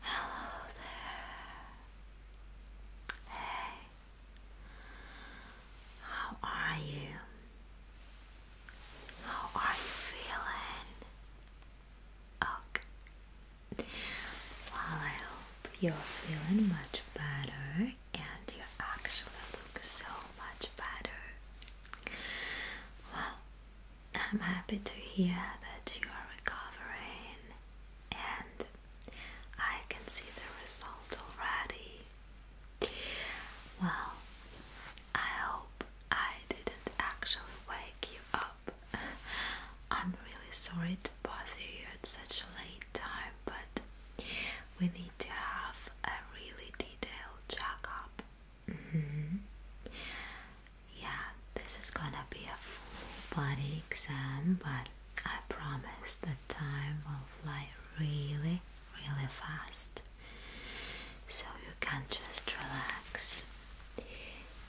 Hello there. Hey. How are you? How are you feeling? Okay. Well, I hope you're feeling much better and you actually look so much better. Well, I'm happy to hear that you are recovering and I can see the result already. Well, I hope I didn't actually wake you up. I'm really sorry to bother you at such a late time, but we need to have a really detailed checkup. Mm yeah, this is gonna be a full body exam, but I promise the time will fly really, really fast. So you can just relax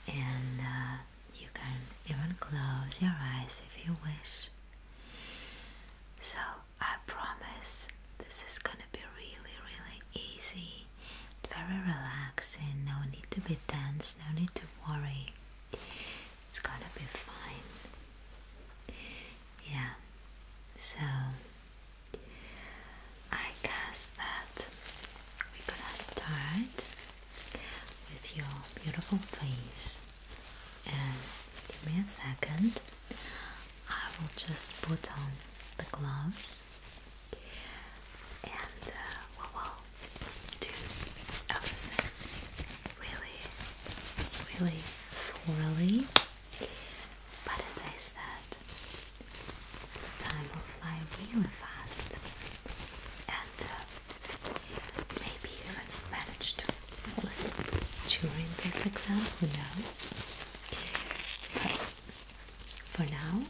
and uh, you can even close your eyes if you wish. So I promise this is gonna be really, really easy very relaxing, no need to be tense, no need to worry. It's gonna be fine. Yeah, so I guess that we're gonna start with your beautiful face. And give me a second, I will just put on the gloves and uh, we'll do everything really, really thoroughly. But as I said, time will fly really fast, and uh, maybe even manage to fall during this exam. Who knows? But for now,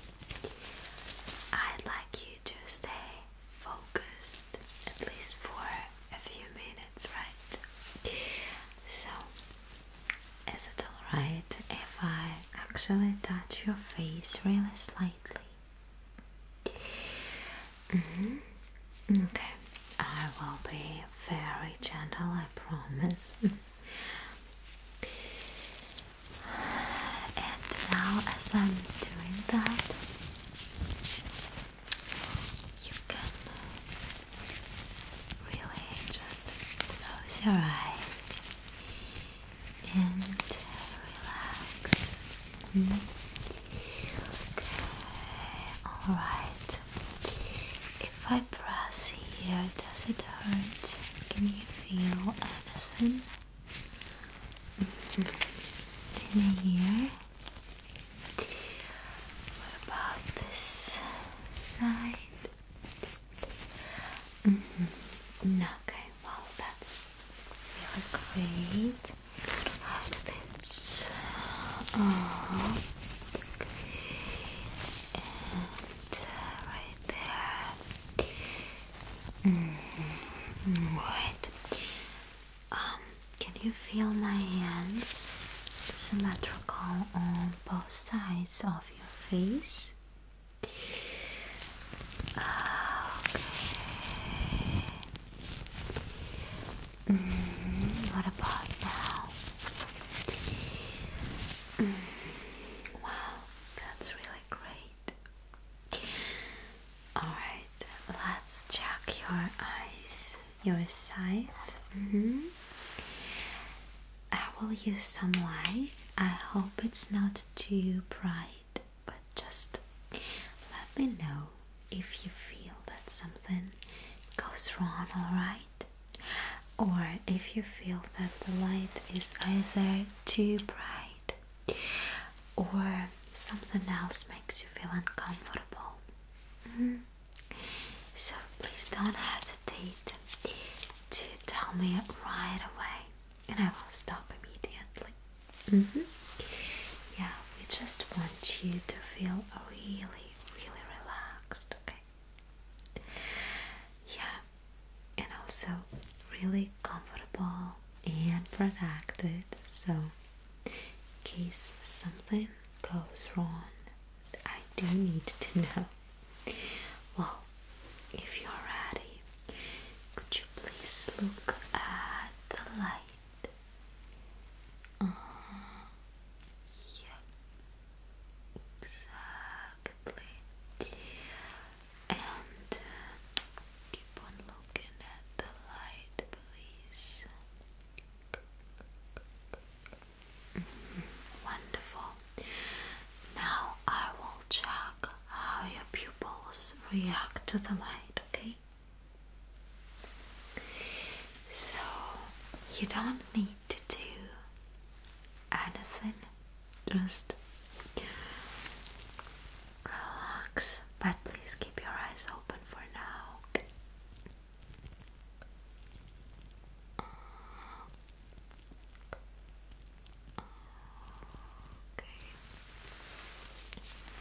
I'd like you you to stay focused at least for a few minutes, right? So, is it alright if I actually touch your face really slightly? Mm-hmm. Okay, I will be very gentle, I promise. And now, as I'm doing that, you can really just close your eyes and relax. Mm-hmm. Okay, alright. If I press here, does it hurt? Can you feel anything? in here. What about this side? Mm-hmm. Okay, well, that's really great. Like oh, uh, right there. Mm um, can you feel my hands symmetrical on both sides of your face? Okay. Mm, what about now? Mm, wow, that's really great. Alright, let's check your eyes, your sight. Mm-hmm. I will use some light. I hope it's not too bright, but just let me know if you feel that something goes wrong, alright? Or if you feel that the light is either too bright or something else makes you feel uncomfortable. Mm-hmm. So please don't hesitate to tell me right away and I will stop immediately. Mm-hmm. Yeah, we just want you to feel really, really relaxed, okay? Yeah, and also really comfortable and protected. So, in case something goes wrong, I do need to know. Well, if you're ready, could you please look at the light? Uh, yep, exactly and uh, keep on looking at the light, please. Mm-hmm. Wonderful. Now I will check how your pupils react to the light, okay? So you don't need to do anything just relax, but please keep your eyes open for now. Okay.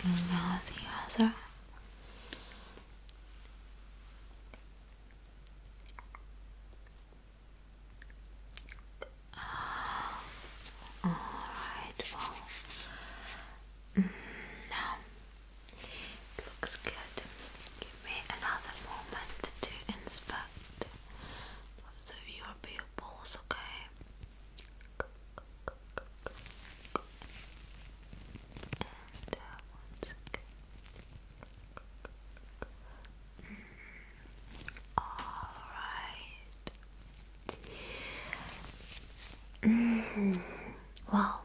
And now Oh, alright, well, looks good. Give me another moment to inspect both of your okay? Alright. Mm, mm-hmm. well,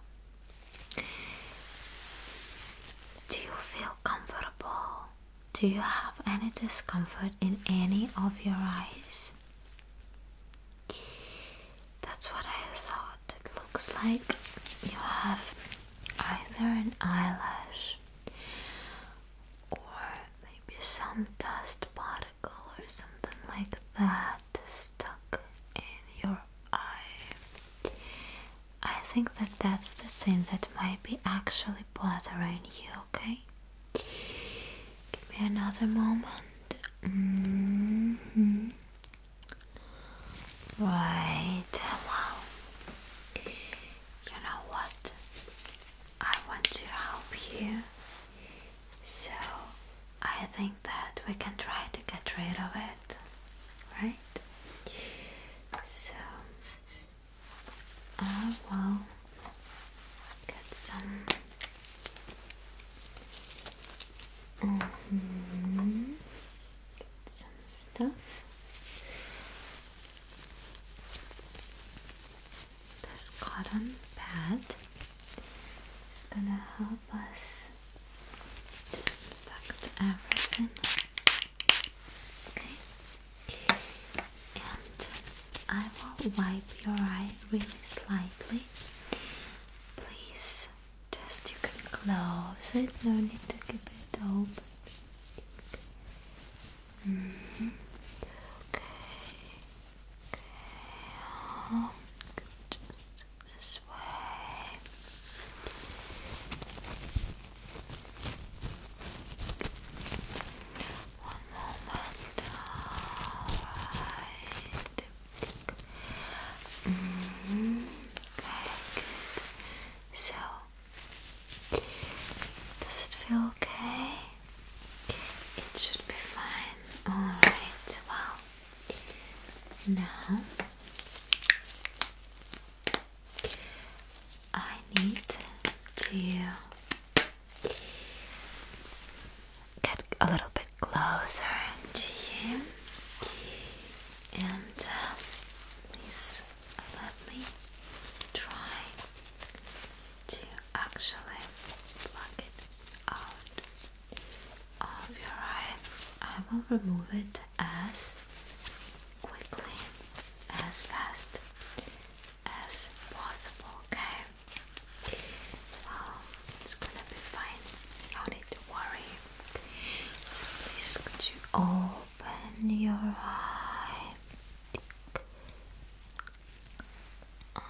do you feel comfortable? Do you have any discomfort in any of your eyes? That's what I thought. It looks like you have either an eyelash or maybe some dust particle or something like that stuck in your eye. I think that that's the thing that might be actually bothering you, okay? Give me another moment. -hmm. Right, well, you know what? I want to help you. So I think that we can try to get rid of it, right? So I uh, will get some. Mm get some stuff this cotton pad is gonna help us disinfect everything. Okay, and I will wipe your eye really slightly. Please, just you can close it, no need to keep it open. Okay. Okay. Um, just this way. One moment. Alright. -hmm. good. So, does it feel okay? It should be fine. Alright, well, now I need to get a little bit closer to you and uh, please let me try to actually plug it out of your eye. I will remove it as quickly, as fast as possible, okay? Well, it's gonna be fine. No need to worry. Please could you open your eye? Oh,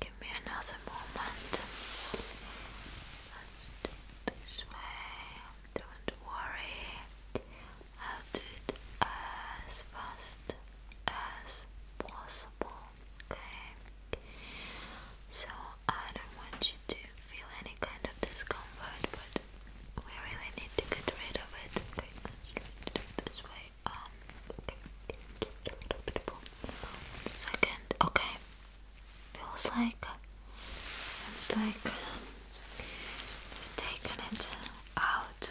Give me another moment. this way. Don't worry. I'll do it as fast as possible okay? So I don't want you to feel any kind of discomfort, but we really need to get rid of it. Okay, let's do it this way. Um, okay, a little bit more. Second, okay. Feels like seems like we it out.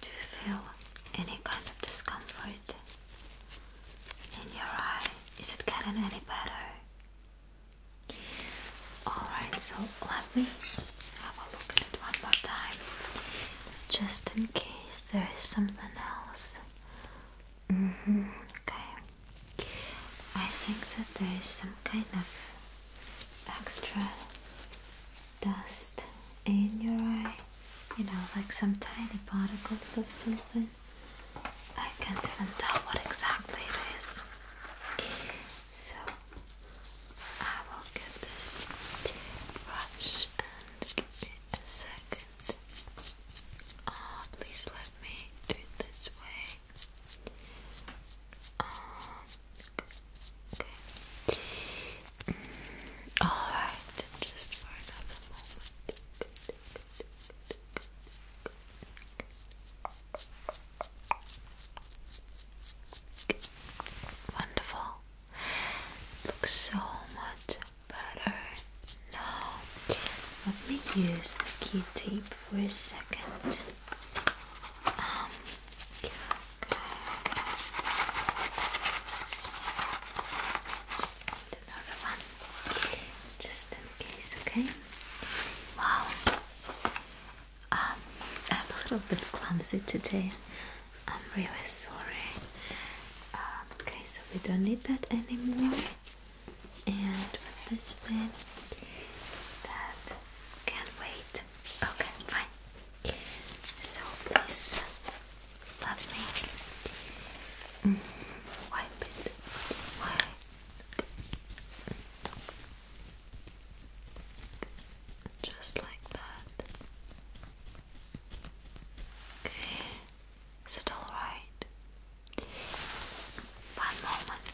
Do you feel any kind of discomfort? in your eye. Is it getting any better? Alright, so let me have a look at it one more time just in case there is something else. Mm-hmm, okay. I think that there is some kind of extra dust in your eye you know, like some tiny particles of something. I can't even tell what exactly it is. So I will get this brush and give a second. Oh, please let me do it this way. Um, okay. Mm, Alright, just for another moment. Wonderful. Looks so much better now. Let me use the key tape for a second. Um, just in case, okay? Wow, um, I'm a little bit clumsy today. I'm really sorry. Um, okay, so we don't need that anymore. And with this thing, that can wait. Okay, fine. So please Lovely. Mm Wipe it. Just like that. Okay. Is it all right? One moment.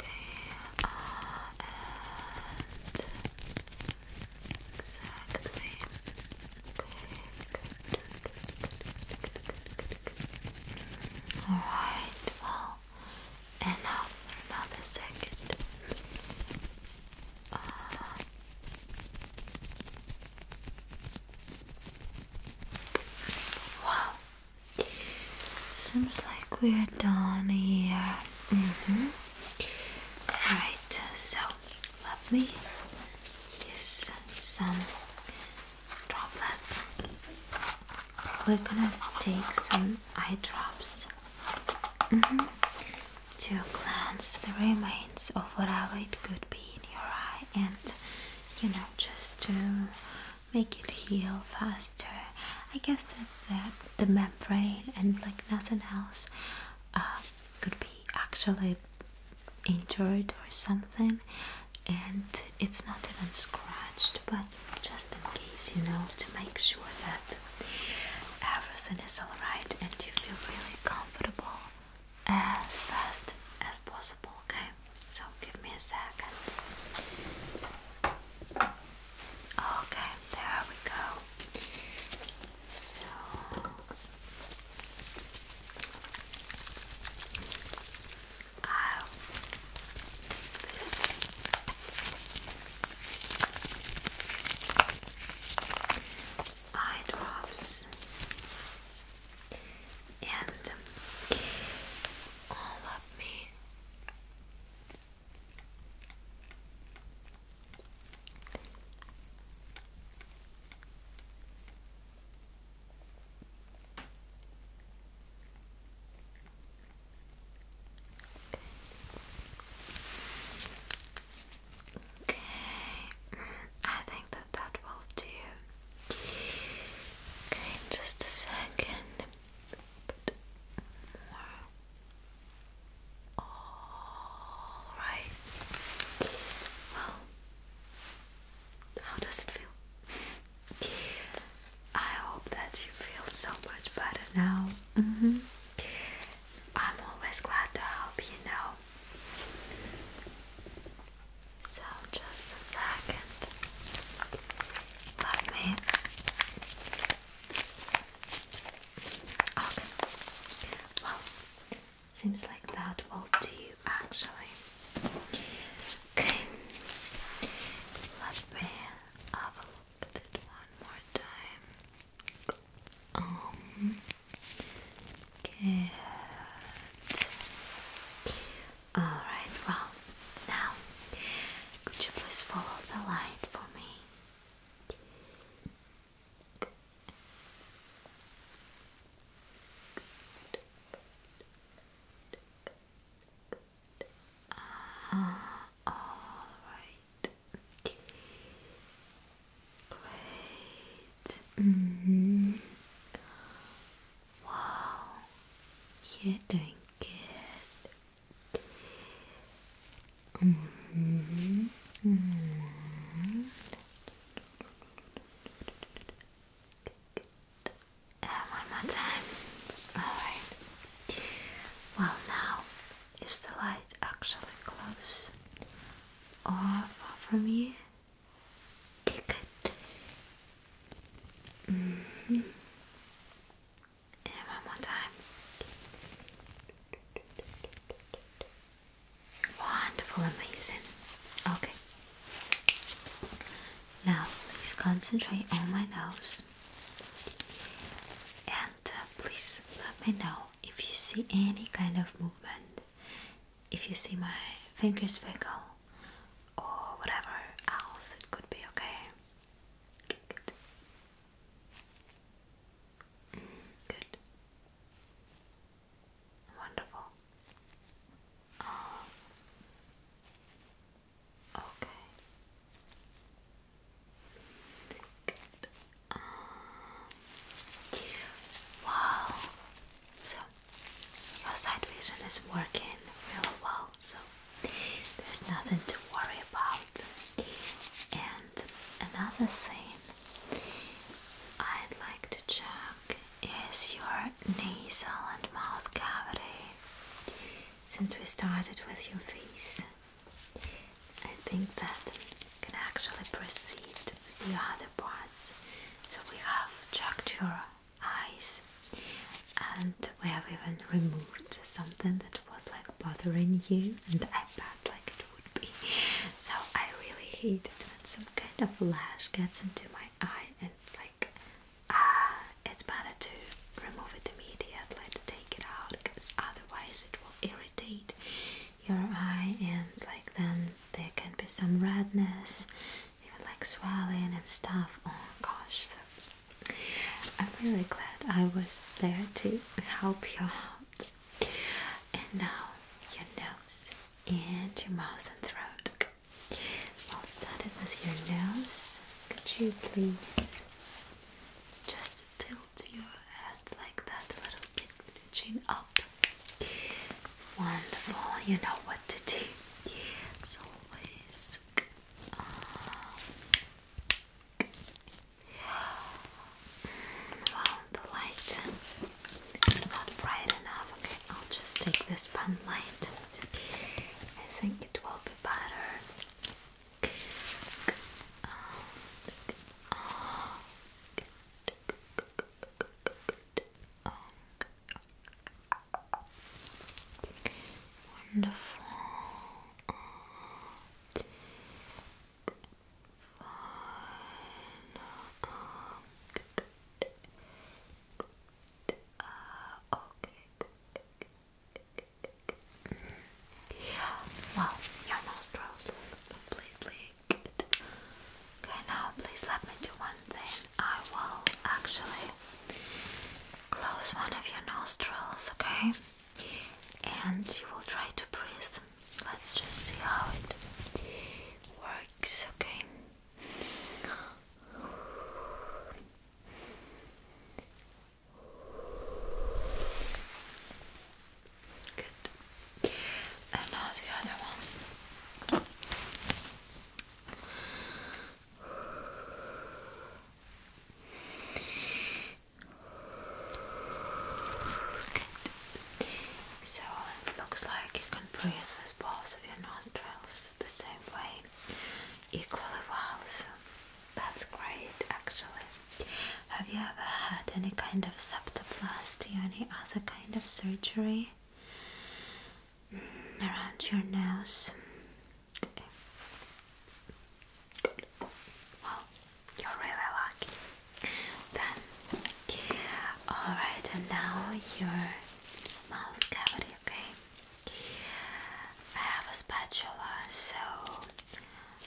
Okay. Uh, Exactly. Good, Alright, well, and for another second. wow. Seems like we're done here. Mm-hmm. Alright, so let me use some droplets. We're gonna take some eye drops mm-hmm, to cleanse the remains of whatever it could be in your eye and you know just to make it heal faster. I guess that's uh, the membrane and like nothing else uh, could be actually injured or something and it's not even scratched but just in case you know to make sure that everything is alright and you feel really comfortable as fast as possible okay so give me a second okay there we go so I'll um, this. eye drops and um, all of me Okay, mm, I think that that will do. Okay, just a second. All right. Well, how does it feel? I hope that you feel so much better now. Mm-hmm. I'm always glad to help you know. So, just a second. Let me. Seems like that will do actually. Okay, let me have it one more time. Um, good. Alright, well, now could you please follow the light for me? all right. Great. Mm-hmm. Wow, you're doing good. Mm-hmm. Mm-hmm. And one more time. Alright. Well, now, is the light actually close or far from you? And mm-hmm. one more time. Wonderful, amazing. Okay. Now, please concentrate on my nose. And uh, please let me know if you see any kind of movement. If you see my fingers wiggle or whatever else it could be, okay? Good. Mm, good. Wonderful. Um, okay. Good. Um, wow. So your sight vision is working really well. So there's nothing to worry about. And another thing I'd like to check is your nasal and mouth cavity. Since we started with your face, I think that can actually proceed with the other parts. So we have checked your eyes and we have even removed something that was like bothering you and I bet like it so I really hate it when some kind of lash gets into my eye and it's like, ah, it's better to remove it immediately to take it out because otherwise it will irritate your eye and like then there can be some redness, even like swelling and stuff. Oh gosh, so I'm really glad I was there to help you out. And now your nose and your mouth and throat. I'll start it with your nose. Could you please just tilt your head like that a little bit, chin up? Wonderful, you know what to do. As always. Um, wow, the light is not bright enough. Okay, I'll just take this pen light. I think it will be better. Wonderful fine. okay, good. Yeah, well, your nostrils look completely good. Okay, now please let me do one thing. I will actually close one of your nostrils, okay? And you will try to breathe Let's just see how it works, okay? Good. And now the other one. Good. So it looks like you can breathe with both of your nostrils the same way, equally well. So that's great actually. Have you ever had any kind of septoplasty or any other kind of surgery mm, around your nose? Well, you're really lucky. Done. Alright, and now your mouth cavity, okay? I have a spatula, so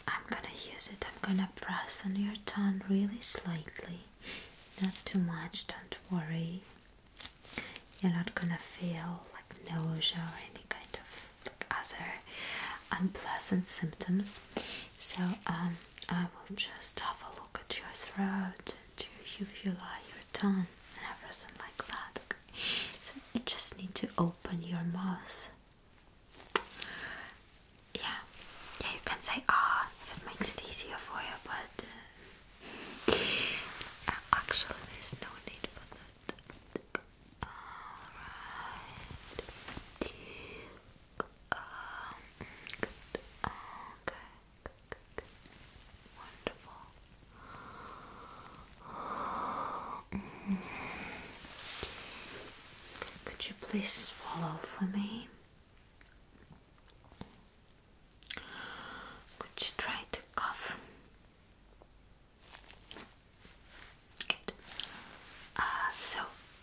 I'm gonna use it. I'm gonna press on your tongue really slightly, not too much, don't worry. You're not gonna feel like nausea or any kind of other unpleasant symptoms. So, um, I will just have a look at your throat and if you lie your tongue and everything like that. So you just need to open your mouth. Yeah, yeah, you can say ah it makes it easier for you, but uh, actually there's no need for that. Alright. good. Um, okay. Could you please swallow for me? Could you try to cough? Good. Uh, so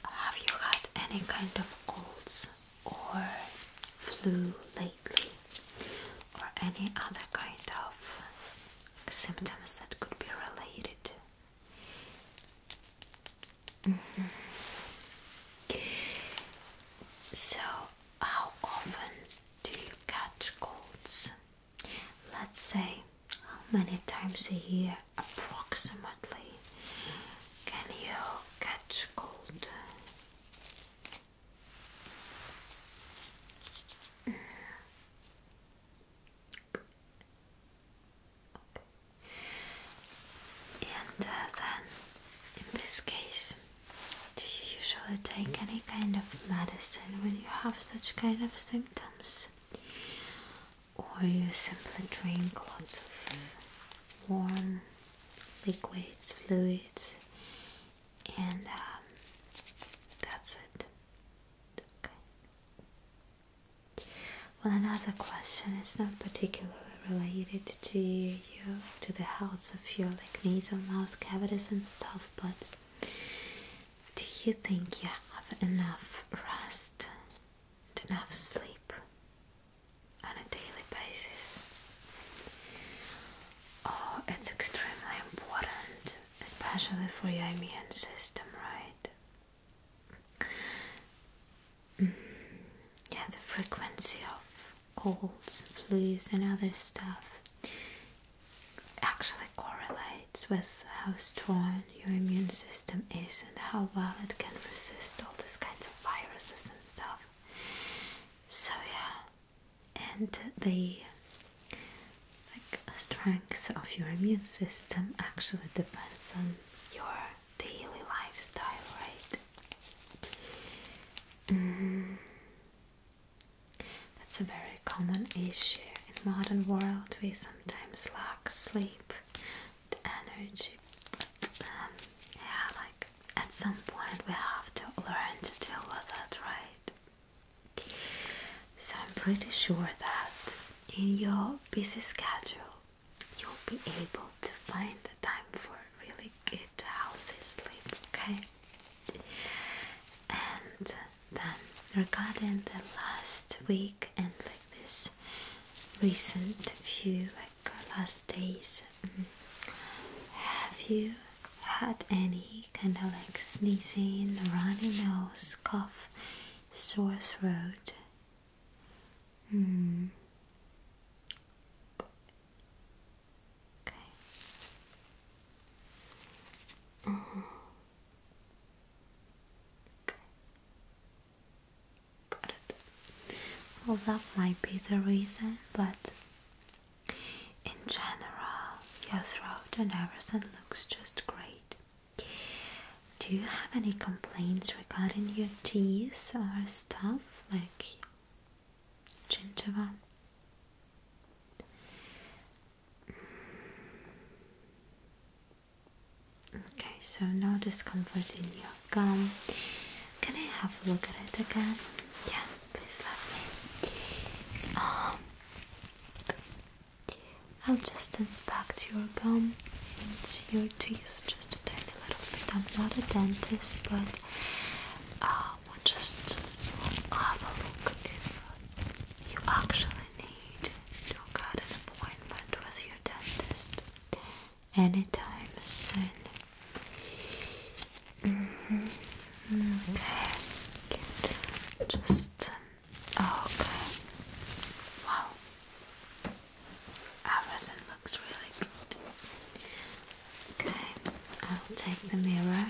have you had any kind of colds or flu lately, or any other kind of symptoms that could be related? Mm -hmm. So, how often do you catch colds? Let's say, how many times a year approximately can you patch called and uh, then in this case do you usually take any kind of medicine when you have such kind of symptoms or you simply drink lots of warm liquids, fluids, and um, that's it. Okay. Well, another question It's not particularly related to you, to the health of your like nasal mouth cavities and stuff, but do you think you have enough rest, enough sleep? on a daily basis. Oh, it's extremely important, especially for your immune system, right? Mm. yeah, the frequency of colds, flus, and other stuff actually correlates with how strong your immune system is and how well it can resist all these kinds of viruses and stuff. So yeah, and the like strength of your immune system actually depends on your daily lifestyle, right? Mm. That's a very common issue in modern world. We sometimes lack sleep energy. Um, yeah, like at some point we have to learn to deal with that, right? So I'm pretty sure that in your busy schedule you'll be able to find the time for really good, healthy sleep, okay? And then regarding the last week and like this recent few like last days, mm. have you had any kind of like sneezing, runny nose, cough, sore throat? Mm. Mm-hmm. Got Well, that might be the reason, but in general, your throat and everything looks just great. Do you have any complaints regarding your teeth or stuff like gingiva? Mm. Okay, so no discomfort in your Gum. Can I have a look at it again? Yeah, please let me. Um, I'll just inspect your gum and your teeth just a tiny little bit. I'm not a dentist, but uh, we'll just have a look if you actually need to get an appointment with your dentist anytime soon. Mm-hmm. Okay, just um, oh, okay. Well, everything looks really good. Okay, I'll take the mirror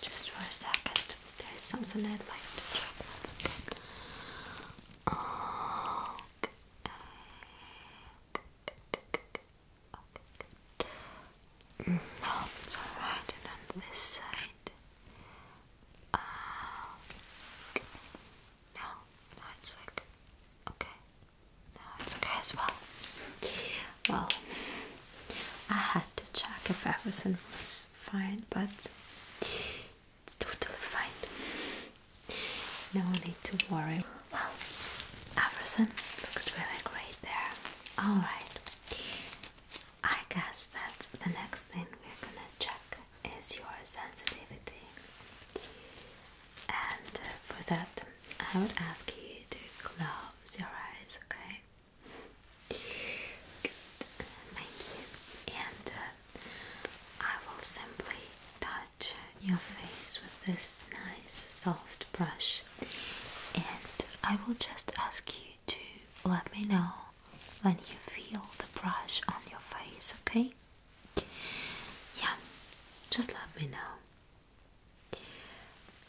just for a second. There is something I'd like to check Okay. No, it's alright, and on this side. Uh, no, no, it's like okay. No, it's okay as well. Well, I had to check if everything was fine, but it's totally fine. No need to worry. Well, everything looks really great there. Alright. I guess that the next thing we're gonna check is your sensitivity. And uh, for that, I would ask you to close your eyes, okay? Good, thank you. And uh, I will simply touch your face with this nice soft brush, and I will just ask you to let me know when you feel the brush on your face, okay? Yeah, just let me know.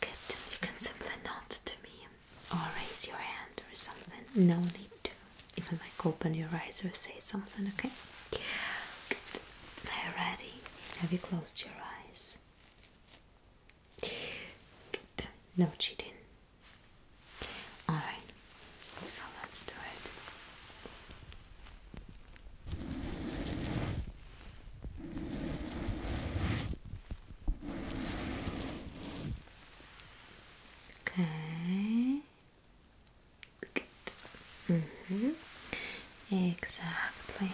Good, you can simply nod to me or raise your hand or something. No need to even like open your eyes or say something, okay? Are Have you closed your eyes? Good. No cheating. Alright, so let's do it. Okay. Mm-hmm. Exactly.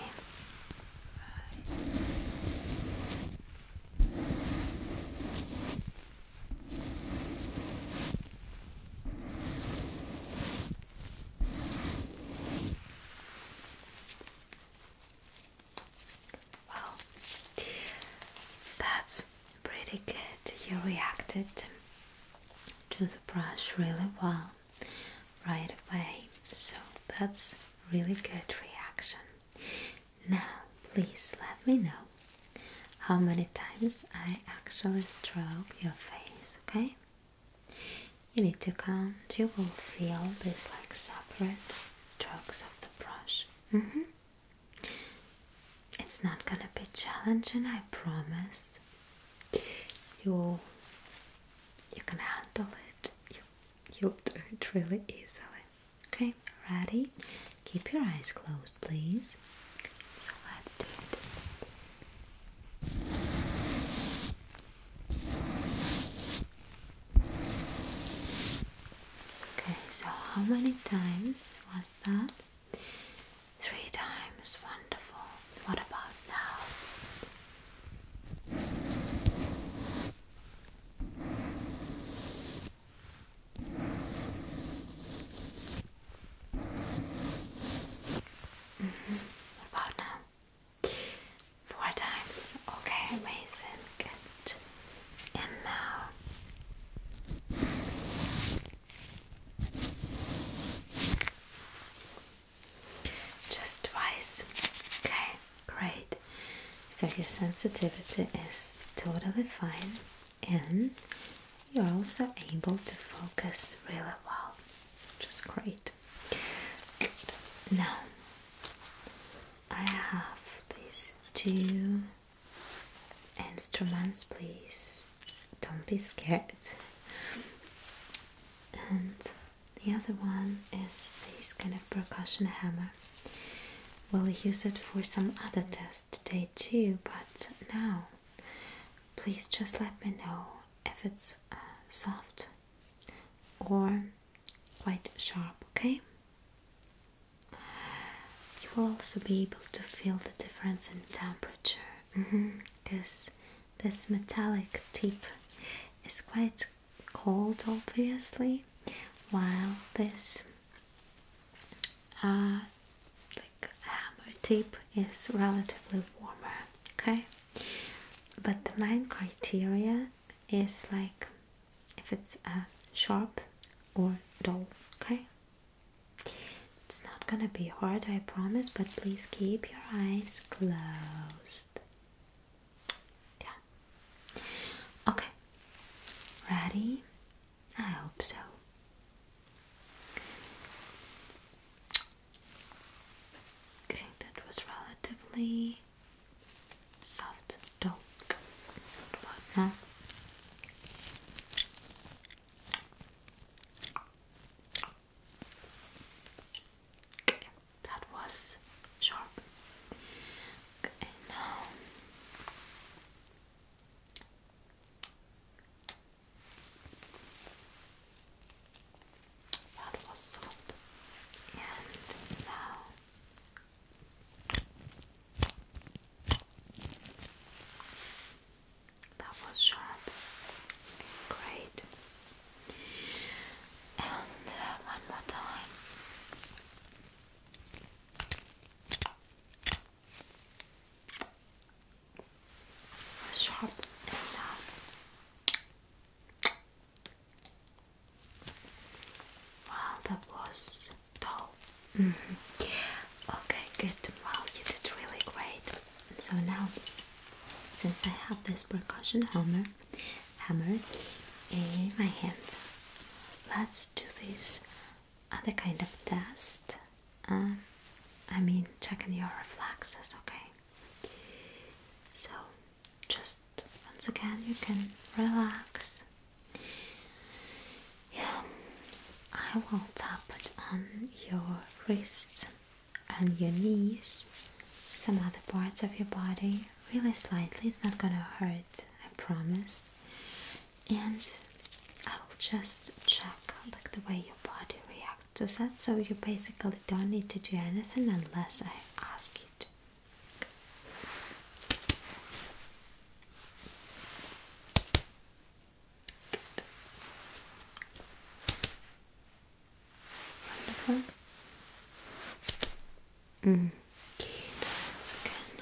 Well, that's pretty good. You reacted to the brush really well right away. So that's really good reaction. Now, please let me know how many times I actually stroke your face, okay? You need to count, you will feel these like separate strokes of the brush. -hmm. It's not gonna be challenging, I promise you you can handle it. You you'll do it really easily. Okay, ready? Keep your eyes closed, please. So let's do it. Okay, so how many times was that? Three times. Wonderful. What about now? Mm-hmm. about now? Four times. Okay, amazing. Good. And now. Just twice. Okay, great. So your sensitivity is totally fine and you're also able to focus really well, which is great. Good. Now I have these two instruments, please. Don't be scared and the other one is this kind of percussion hammer. We'll use it for some other tests today too, but now please just let me know if it's uh, soft or quite sharp, okay? You will also be able to feel the difference in temperature because mm-hmm. This metallic tip is quite cold, obviously, while this uh, like hammer tip is relatively warmer. Okay, but the main criteria is like if it's uh, sharp or dull. Okay, it's not gonna be hard, I promise, but please keep your eyes closed. Yeah. Okay. Ready? I hope so. Okay, that was relatively soft talk. What that was sharp. Okay, now that was salt, and now. That was sharp. Great. And uh, one more time. sharp and Wow, that was tall. Mm-hmm. Okay, good. Wow, you did really great. So now, since I have this percussion hammer, hammer in my hand, let's do this other kind of test. Um, I mean, checking your reflexes, okay? So, just once again, you can relax. Yeah, I will tap it on your wrist on your knees, some other parts of your body, really slightly. It's not gonna hurt, I promise. And I will just check like the way your body reacts to that. So you basically don't need to do anything unless I ask you Wonderful. Mm. again.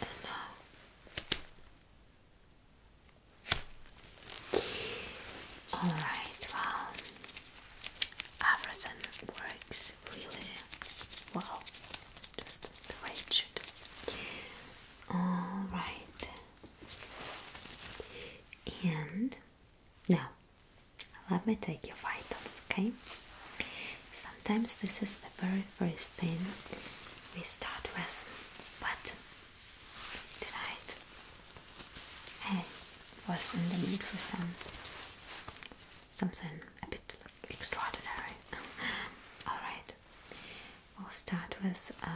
And now. Alright, well, everything works really well just the way it should. Alright. And now let me take your vitals, okay? Sometimes this is the very first thing we start with, but tonight I was in the mood for some something extraordinary. Alright, we'll start with uh,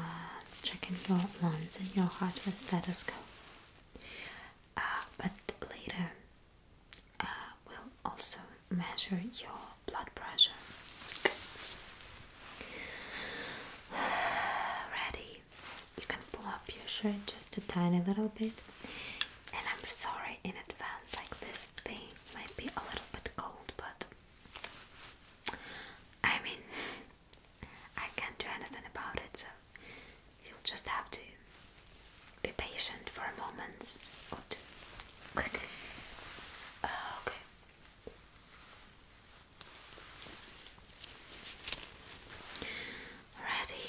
checking your lungs and your heart with stethoscope. Uh, but later, uh, we'll also measure your blood pressure. Ready? You can pull up your shirt just a tiny little bit, and I'm sorry in advance, like this thing might be a little bit cold, but I mean, I can't do anything about it, so you'll just have to be patient for a moment or uh, okay. Ready?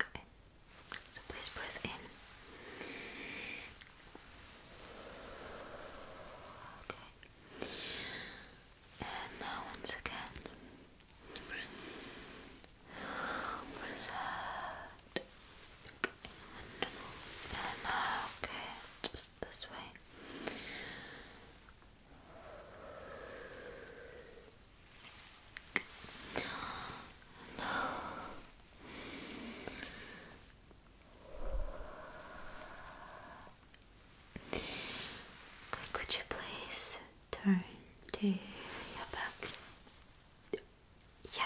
Okay. So please press in. Okay. And now once again. Press that. And now, okay, just this way. No. Could you please turn to your back? Yeah.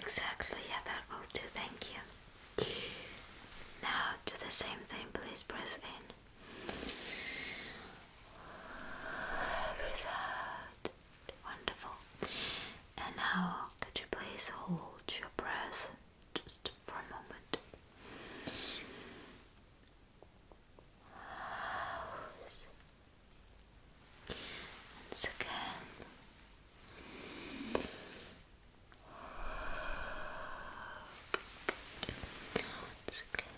Exactly, yeah, that will do, thank you. Now do the same thing, please press in. Press out. Wonderful. And now, could you please hold your breath just for a moment? Once again. Once again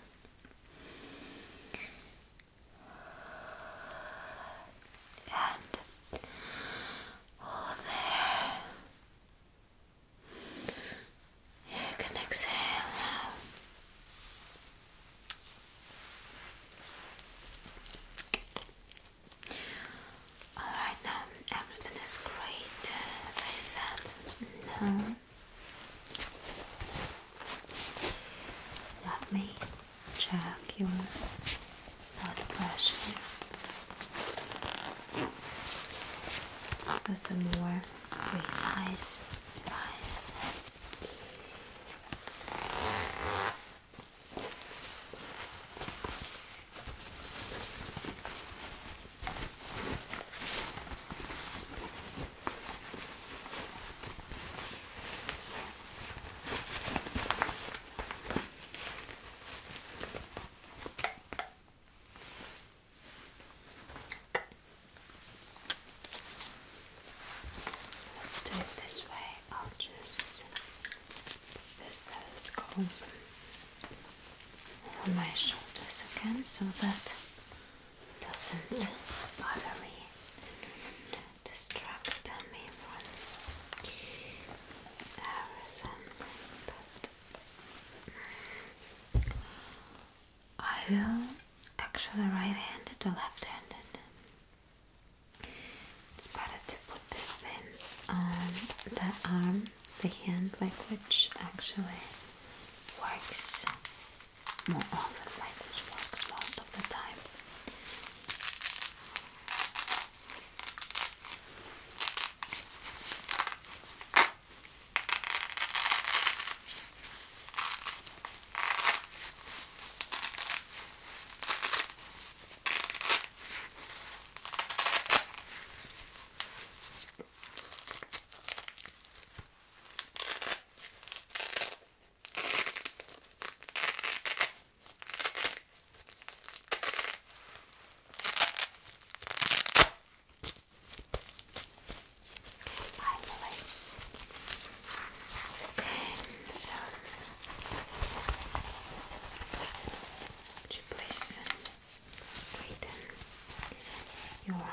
and all there. You can exhale Alright, now everything is great, uh, as I said. Now, mm-hmm. Let me check your blood pressure with a more precise device. Let's do it this way. I'll just use those comb on my shoulders again so that doesn't bother me, distract me from everything. Mm, I will actually right-handed left-handed. It's better to put this thing the arm, the hand, like actually works more often language works most of the time. Finally. Okay, so would you please um, straighten your arm?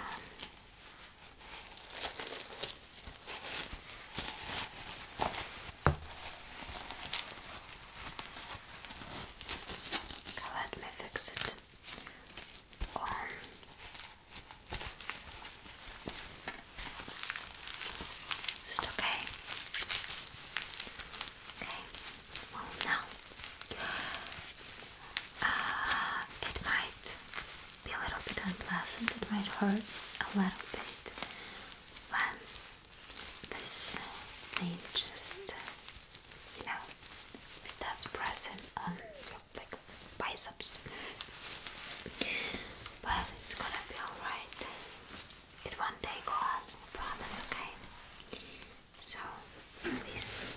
let me fix it. Um, is it okay? Okay. Well, now uh, it might be a little bit unpleasant, it might hurt a little bit when this thing just, you know, starts pressing on your biceps. But it's gonna be alright. It won't take long, I promise, okay? So, please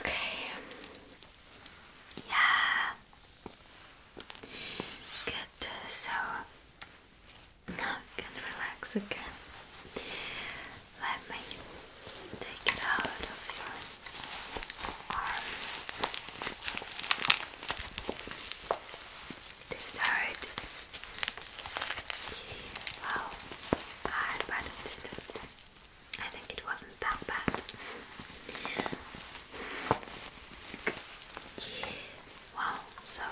Okay. Yeah. Good. So now you can relax again. Let me take it out of your arm. Did it hurt? Wow, I bet I think it wasn't that bad. Wow, so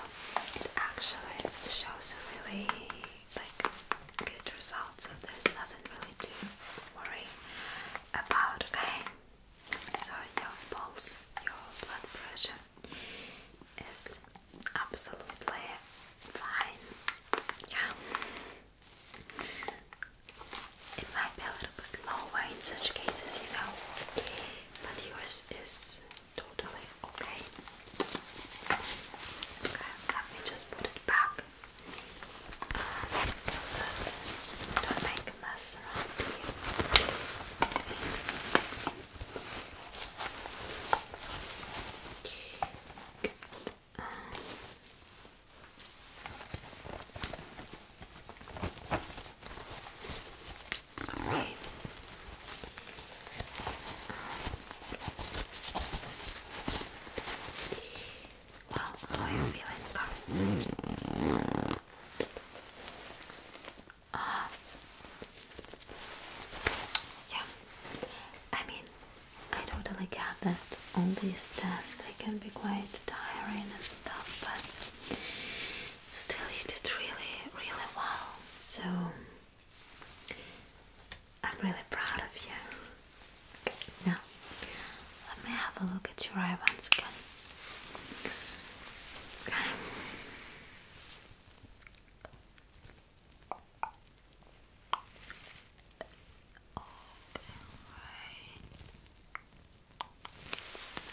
it actually shows a really like good results, so there's nothing really to worry about, okay? So your pulse, your blood pressure is absolutely fine. Yeah. It might be a little bit lower in such cases, you know, but yours is totally okay let me just put it back so that don't make a mess around here. Um, Sorry. Well, how are feeling, Carl? Uh, yeah, I mean, I totally get that on these tests they can be quite tiring and stuff, but still you did really, really well, so I'm really proud of you. now, let me have a look at your eye once again. Okay.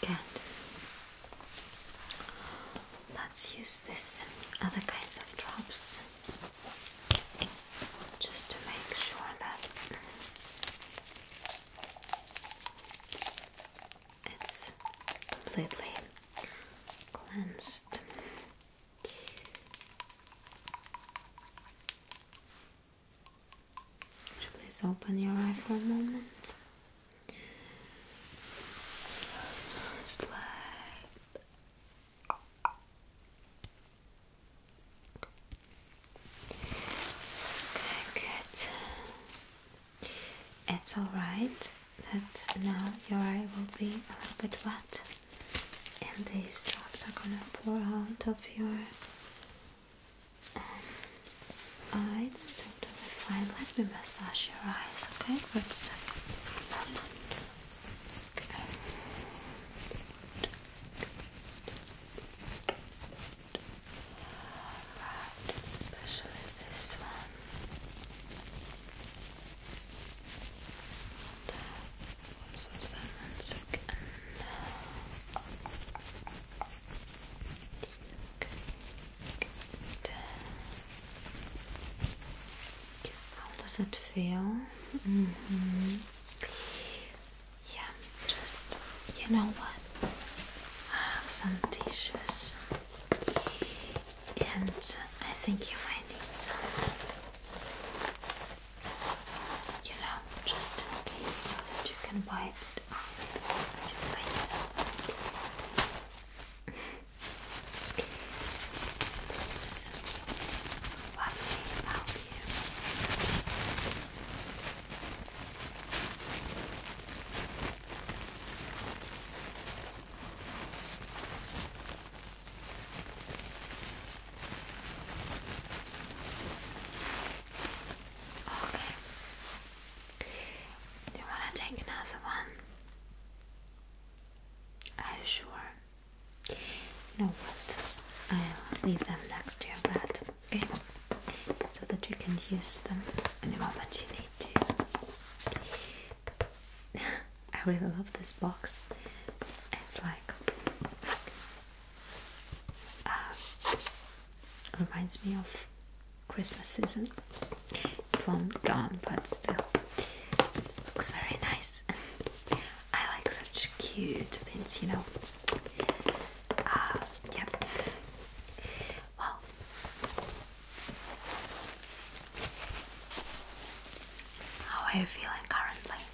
right. Good. Let's use this other kinds of drops just to make sure that it's completely cleansed. Could you please open your eye for a moment? Just like Okay, good. It's alright that now your eye will be a little bit wet and these drops are gonna pour out of your um, eye. It's totally fine. Let me massage your eyes, okay? For a second. Alright, especially this one. also silence again. Okay, good. How does it feel? Mm-hmm. Yeah, just you know what? I have some tissues, and I think you might need some. You know, just in case, so that you can wipe your face. Okay. Do you want to take another one? Are you sure? You know what? I'll leave them next to your bed, okay? So that you can use them any moment you need to. I really love this box. It's like uh, reminds me of Christmas season. It's long gone, but still, Looks very nice. I like such cute things, you know. Uh, yep. Well, how are you feeling currently?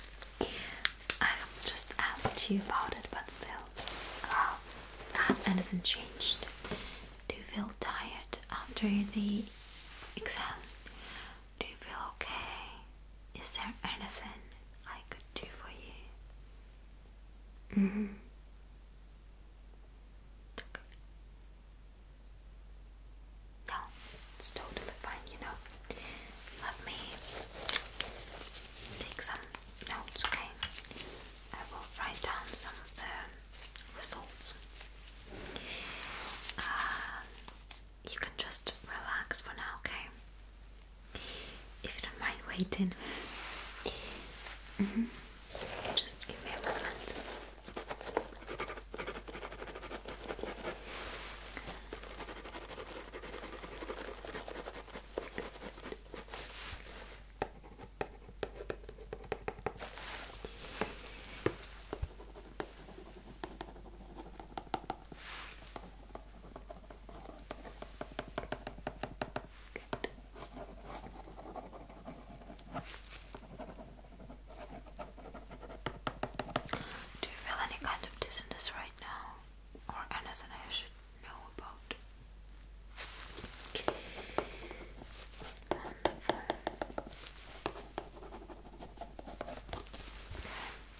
I just asked you about it, but still, uh, has anything changed? Do you feel tired after the exam? Do you feel okay? Is there anything I could do for you? Mm-hmm. No, it's totally fine, you know. Let me take some notes, okay? I will write down some of uh, the results. Uh, you can just relax for now, okay? If you don't mind waiting, mm-hmm. just give me a moment. Do you feel any kind of dizziness right now? Or anything I should know about?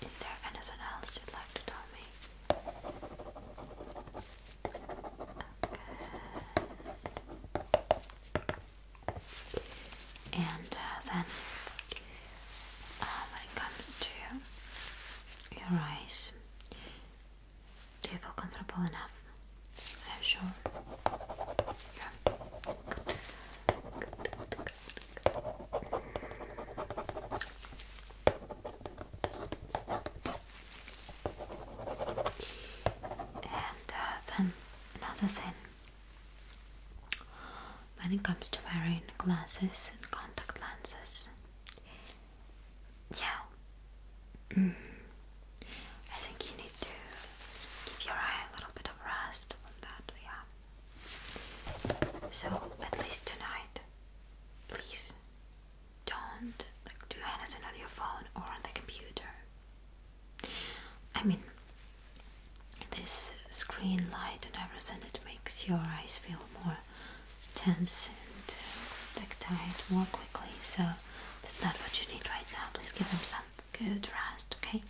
Is there anything else you'd like to tell me? And uh, then, uh, when it comes to your eyes, do you feel comfortable enough? I'm sure. And uh, then another thing when it comes to wearing glasses and contact lenses, yeah, mm. I think you need to give your eye a little bit of rest from that, yeah. So at least tonight, please don't do anything on your phone or on the computer. I mean, this screen light and everything it makes your eyes feel more tense and uh, tight more quickly. So that's not what you need right now. Please give them some good rest, okay?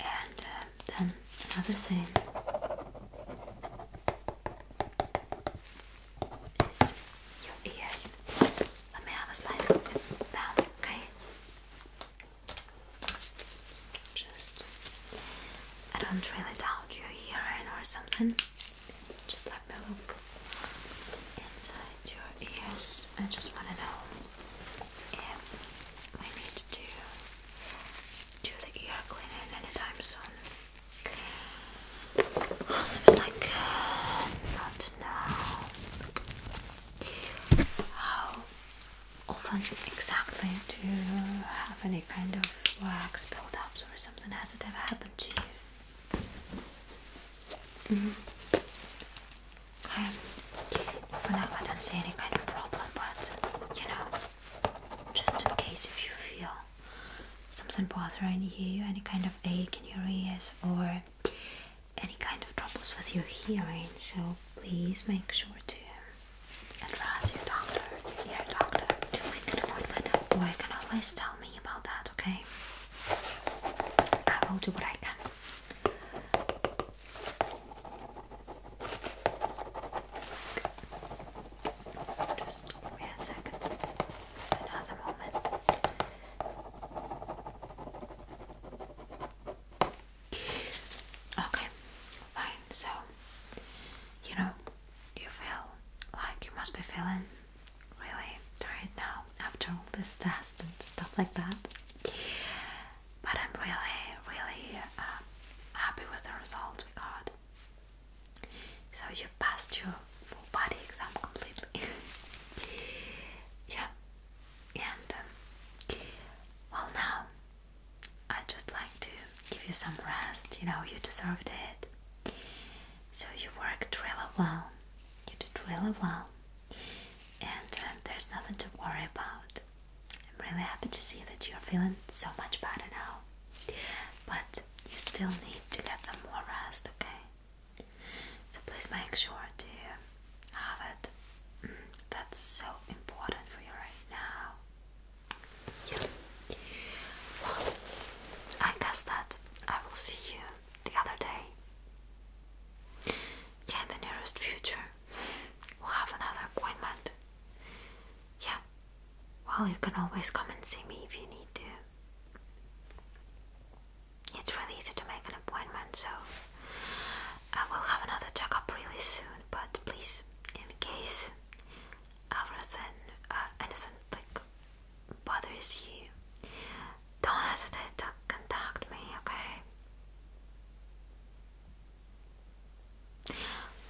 And uh, then another thing is your ears. Let me have a slight look at okay? Just, I don't really doubt your hearing or something. Just let me look inside your ears. I just want to know if I need to do the ear cleaning anytime soon. Seems like not now. How often exactly do you have any kind of wax buildups or something? Has it ever happened to you? Mm-hmm. Okay. For now, I don't see any kind of problem, but you know, just in case if you feel something bothering you, any kind of ache in your ears, or any kind of troubles with your hearing, so please make sure to address your doctor, your doctor, to make an appointment, or you can always tell me about that okay? I will do what I can. Just wait a second, another moment. Okay, fine. So, you know, you feel like you must be feeling really tired now after all this test and stuff like that. But I'm really, really um, happy with the result we got. So you passed your full body exam completely. yeah, and um, well now I'd just like to give you some rest. You know you deserved it. So you worked really well. You did really well. And um, there's nothing to worry about. I'm really happy to see that you're feeling so much better now. But you still need to get some more rest, okay? So please make sure to have it. Mm, that's so important for you right now. Yeah. I guess that I will see you the other day. Yeah, in the nearest future, we'll have another appointment. Yeah, well, you can always come and see me if you need to. It's really easy to make an appointment, so I will have another checkup really soon. But please, in case everything, uh, anything like bothers you, don't hesitate to contact me, okay?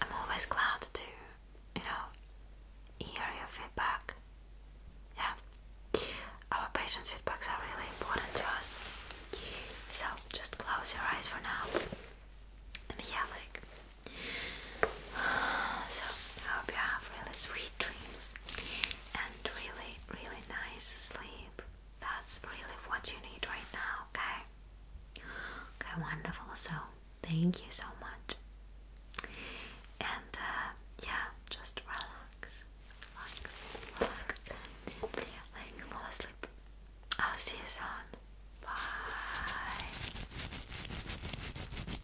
I'm always glad to, you know, hear your feedback. Yeah, our patients' feedbacks are really important to us. So just close your eyes for now. And yeah, like so I hope you have really sweet dreams and really, really nice sleep. That's really what you need right now, okay? Okay, wonderful. So thank you so much. And uh, yeah, just relax, relax, relax, like fall asleep. I'll see you soon. Bye.